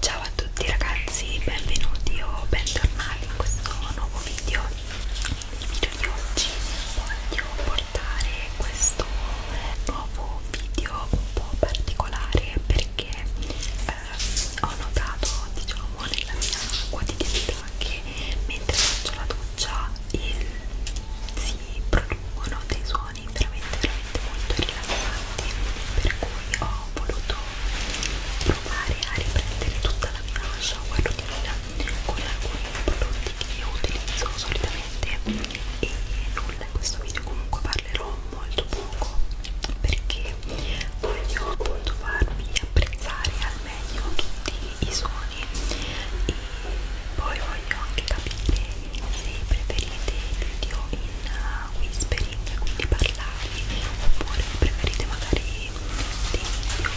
Ciao a tutti ragazzi, benvenuti o bentornati in questo nuovo video. Nel video di oggi voglio portare questo nuovo video un po' particolare perché eh, ho notato, diciamo, nella mia quotidianità che mentre faccio la doccia il, si producono dei suoni toni veramente veramente molto rilassanti per cui ho voluto provare a riprendere tutta la mia shower routine con alcuni prodotti che io utilizzo solitamente e nulla in questo video comunque parlerò molto poco perché voglio appunto farvi apprezzare al meglio tutti i suoni e poi voglio anche capire se preferite i video in uh, whispering, quindi parlati, oppure preferite magari dei video un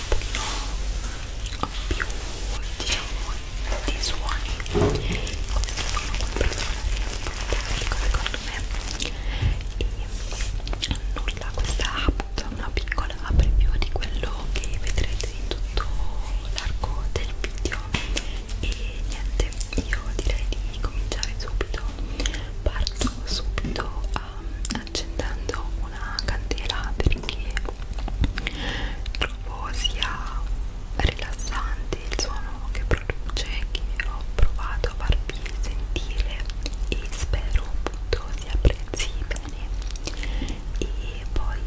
pochino uh, più, diciamo, di suoni come sono con persone secondo me e nulla, questa appunto è una piccola preview di quello che vedrete in tutto l'arco del video e niente io direi di cominciare subito parto subito um, accendendo una candela perché trovo sia rilassante il suono che produce che ho provato a farvi sentire e spero appunto si apprezzi bene e poi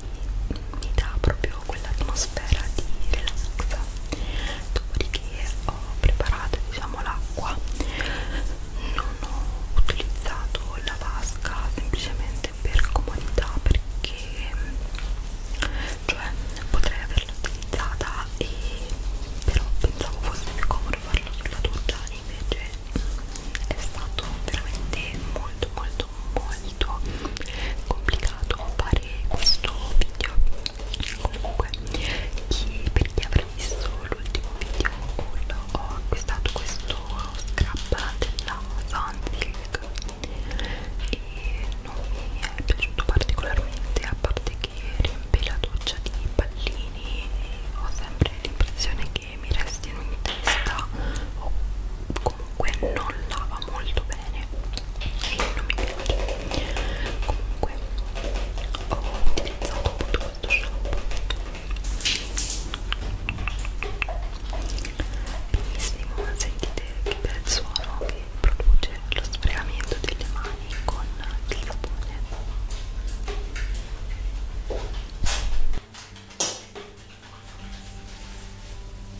mi dà proprio quell'atmosfera di relax dopodiché ho preparato diciamo l'acqua non ho utilizzato la vasca semplicemente per comodità perché cioè potrei averla utilizzata e però pensavo fosse più comodo farlo sulla doccia invece è stato veramente molto molto molto complicato fare questo video comunque chi, per chi avrà visto l'ultimo video haul ho acquistato questo scrub della Sunsilk e non mi è piaciuto particolarmente a parte che riempie la doccia di pallini ho sempre l'impressione che mi restino in testa o comunque non lava molto bene bene e non mi piace comunque ho utilizzato tutto questo shampoo benissimo sentite che bel suono che produce lo sfregamento delle mani con il sapone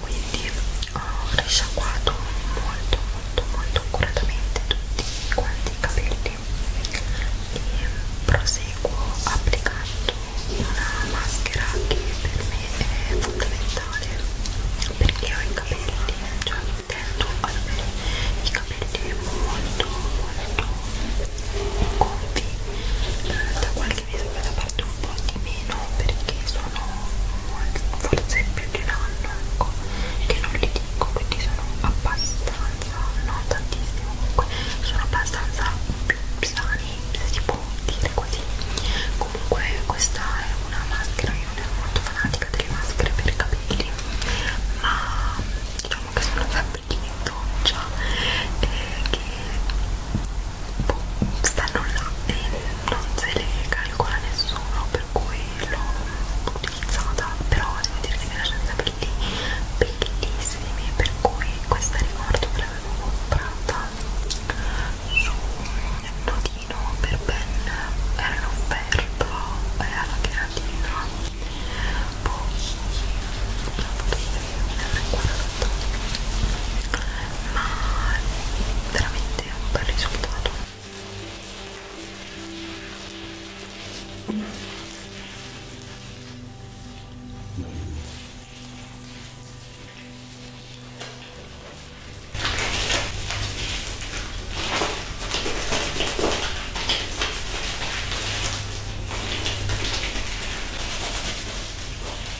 quindi ho eh, risciacquato molto molto molto accuratamente tutti quanti i capelli e proseguo applicando una maschera che per me è fondamentale perché ho i capelli cioè intendo ad avere i capelli molto molto gonfi eh, da qualche che mi sembra da parte un po' di meno perché sono forse più di un anno ecco, che non li dico quindi sono abbastanza non tantissimo comunque sono abbastanza più sani se si può dire così comunque questa è una maschera io non ero molto fanatica delle maschere per capelli ma diciamo che sono sempre di doccia eh, che stanno là e non se le calcola nessuno per cui l'ho utilizzata però devo dire che mi lasciano i capelli bellissimi per cui questa ricordo che l'avevo comprata su un notino per ben era in offerta eh, alla creatina poi la potete vedere qua fatto ma veramente un bel risultato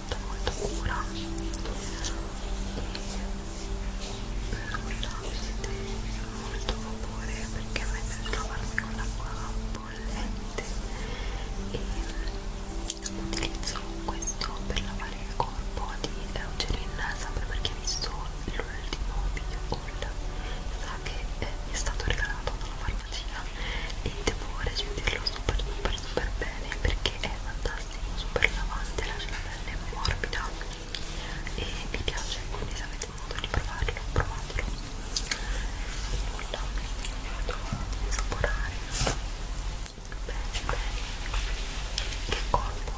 molta molta cura e nulla mi molto vapore perché a me piace lavarmi con l'acqua bollente e utilizzo questo per lavare il corpo di Eucerin sempre perché ho visto l'ultimo video haul sa che eh, mi è stato regalato dalla farmacia e devo recepirlo super super super bene perché che è fantastico, super lavante, lascia la pelle morbida e vi piace, quindi se avete modo di provarlo, provatelo. E nulla, vado a saporare. Bene, bene. Che colpo.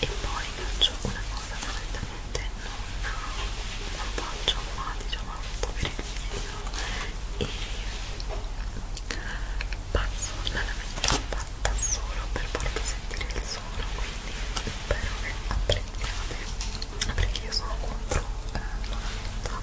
E poi faccio una cosa veramente non, non faccio ma diciamo un po' per il video e passo dalla vecchia fatta solo per farvi sentire il suono quindi spero che apprendiate perché io sono contro eh, la vita Ecco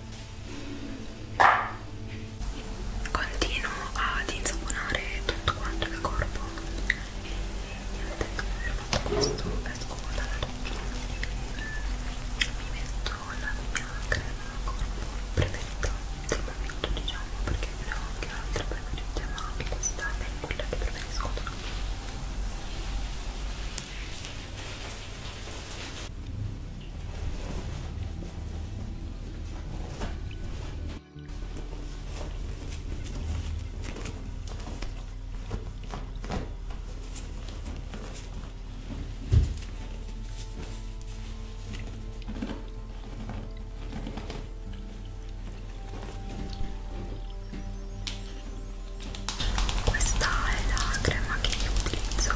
Continuo ad insaponare tutto quanto il corpo e niente, ho fatto questo, esco dalla doccia mi metto la mia crema corpo preferita del momento diciamo perché ne ho anche altre preferite ma anche questa è quella che preferisco questa è la crema che io utilizzo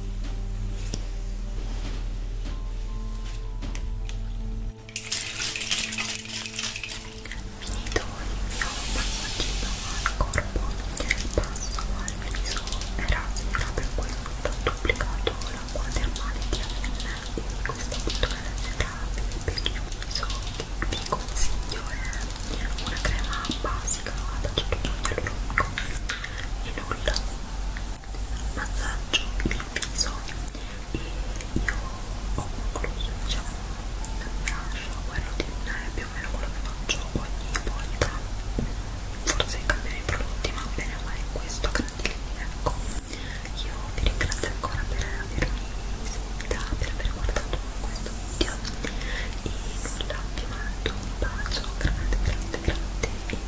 Finito il mio passaggio al corpo, passo al viso, era sicura per questo ho duplicato l'acqua termale di Avena e questa bottonella terapia per il viso che vi consiglio è una crema basica ad aceto di alluminio e nulla massaggio il viso e io ho concluso diciamo il brush quello di lunare più o meno quello che faccio ogni volta forse cambiano i prodotti ma bene ma è questo a grandi linee ecco io vi ringrazio ancora per avermi seguita per aver guardato questo video e nulla vi mando un bacio grande grande grande e